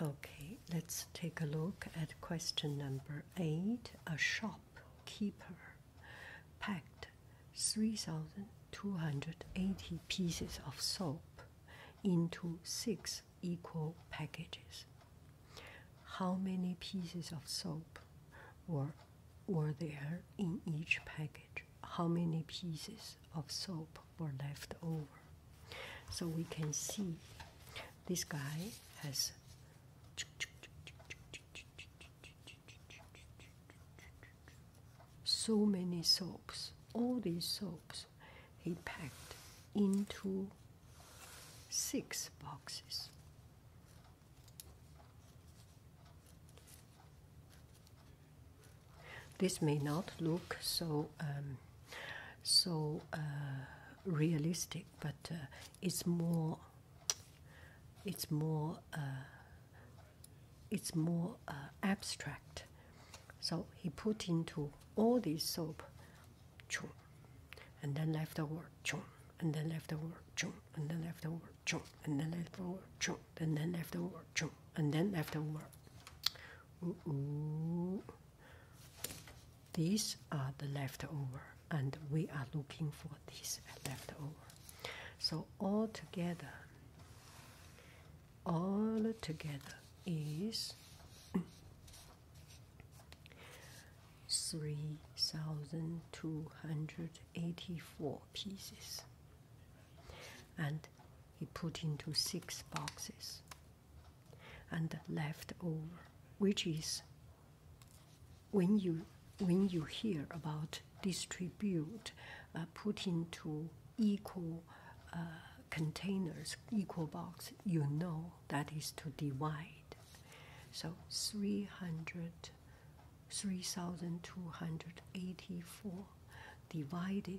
Okay, let's take a look at question number eight. A shopkeeper packed 3,280 pieces of soap into six equal packages. How many pieces of soap were, were there in each package? How many pieces? of soap were left over. So we can see this guy has so many soaps. All these soaps he packed into six boxes. This may not look so um, so uh, realistic, but uh, it's more it's more uh, it's more abstract. So he put into all this soap, chung, and then left the word chung, and then left the word chung, and then left the word chung, and then left the word chung, and then left the word chung, and then left the word these are the leftover, and we are looking for these leftover. So all together, all together is three thousand two hundred eighty-four pieces, and he put into six boxes and left over, which is when you when you hear about distribute, uh, put into equal uh, containers, equal box, you know that is to divide. So 300, 3,284 divided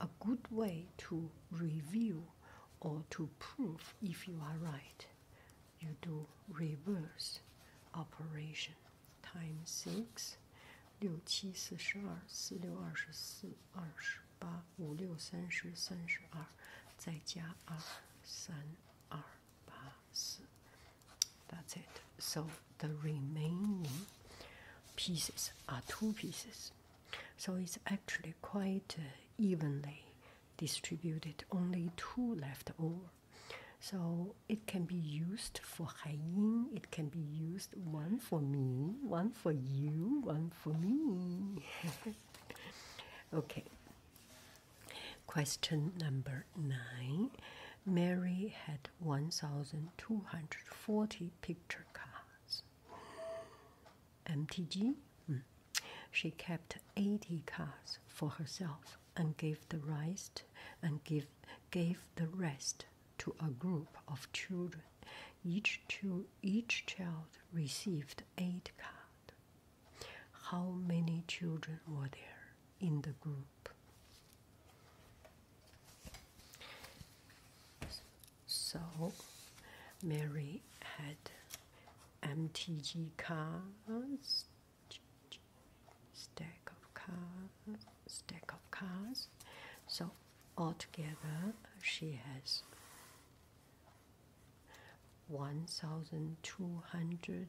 a good way to review or to prove if you are right. You do reverse operation. Time six. 六七四十二，四六二十四，二十八，五六三十，三十二，再加二三二八四，that's it. So the remaining pieces are two pieces. So it's actually quite uh, evenly distributed, only two left over. So it can be used for Haiyin, it can be used one for me, one for you, one for me. okay. Question number nine. Mary had 1,240 picture cards. MTG? Hmm. She kept 80 cards for herself and gave the rest and give, gave the rest to a group of children. Each, two, each child received eight cards. How many children were there? in the group. So, Mary had MTG cards, stack of cards, stack of cards. So, altogether, she has 1,200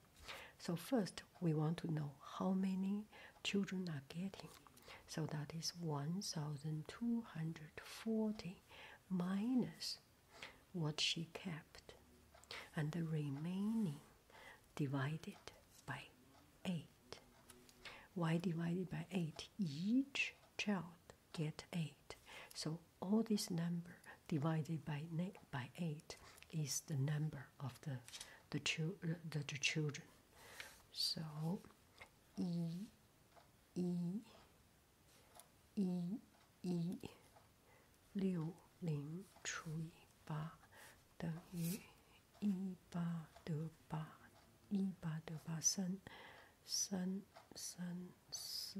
So first, we want to know how many children are getting. So that is 1,240 minus what she kept, and the remaining divided by 8. Y divided by 8? Each child get 8. So so all this number divided by by eight is the number of the the, chil uh, the, the children. So e e e e 六零除以八等于一八得八，一八得八三三三四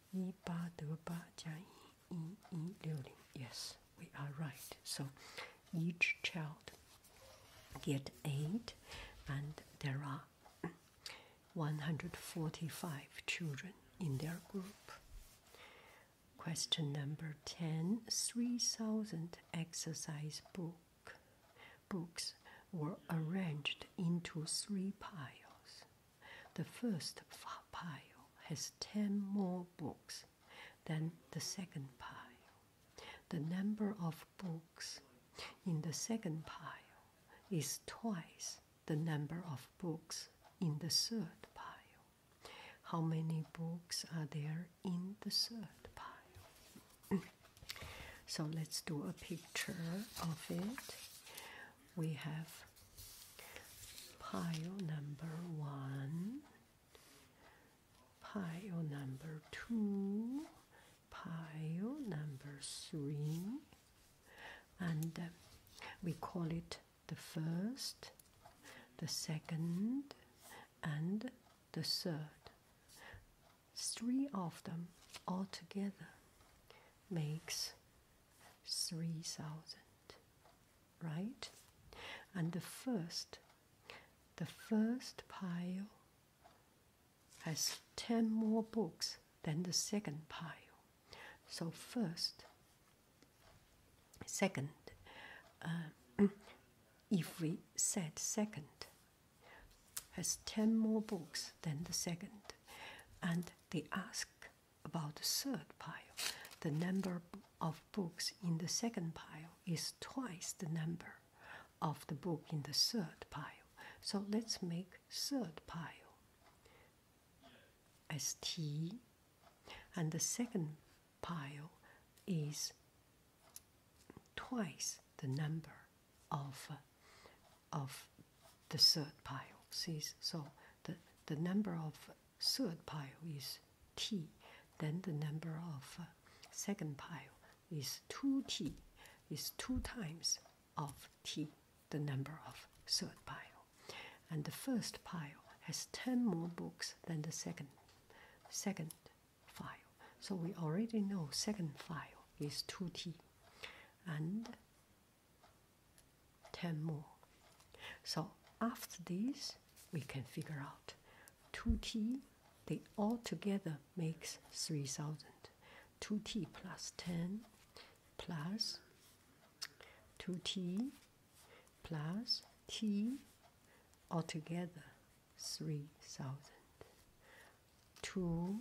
Yes, we are right. So each child get eight, and there are 145 children in their group. Question number 10 3000 exercise book, books were arranged into three piles. The first pile has 10 more books than the second pile. The number of books in the second pile is twice the number of books in the third pile. How many books are there in the third pile? so let's do a picture of it we have pile number one, pile number two, pile number three, and uh, we call it the first, the second, and the third. Three of them all together makes 3000 right and the first the first pile has 10 more books than the second pile so first second uh, if we said second has 10 more books than the second and they ask about the third pile. The number of books in the second pile is twice the number of the book in the third pile. So let's make third pile as T, and the second pile is twice the number of of the third pile. See, so the, the number of third pile is t, then the number of uh, second pile is 2t, is two times of t, the number of third pile. And the first pile has 10 more books than the second, second pile. So we already know second pile is 2t. And 10 more. So after this, we can figure out 2t, they all together makes 3000. 2t plus 10 plus 2t plus t altogether 3000. 2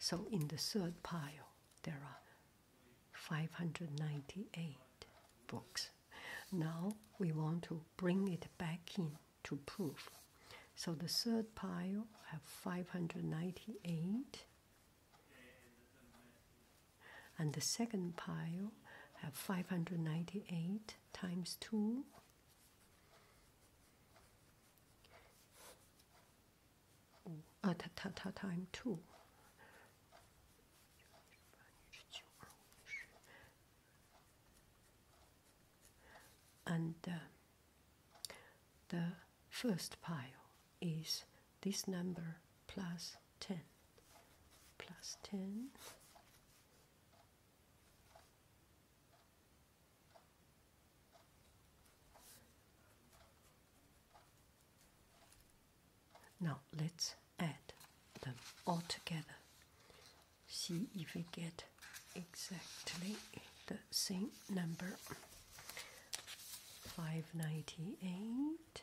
So in the third pile, there are 598 books. Now we want to bring it back in to proof. So the third pile have 598 and the second pile have 598 times 2 uh, ah, t time 2 and uh, the first pile is this number plus 10 plus 10 now let's add them all together see if we get exactly the same number 598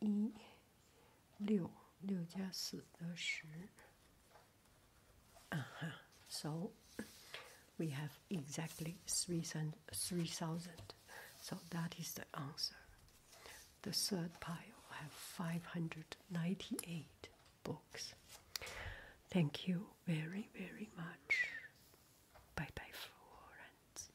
一六六加四得十。Uh -huh. So we have exactly three thousand. So that is the answer. The third pile have five hundred ninety-eight books. Thank you very very much. Bye bye, Florence.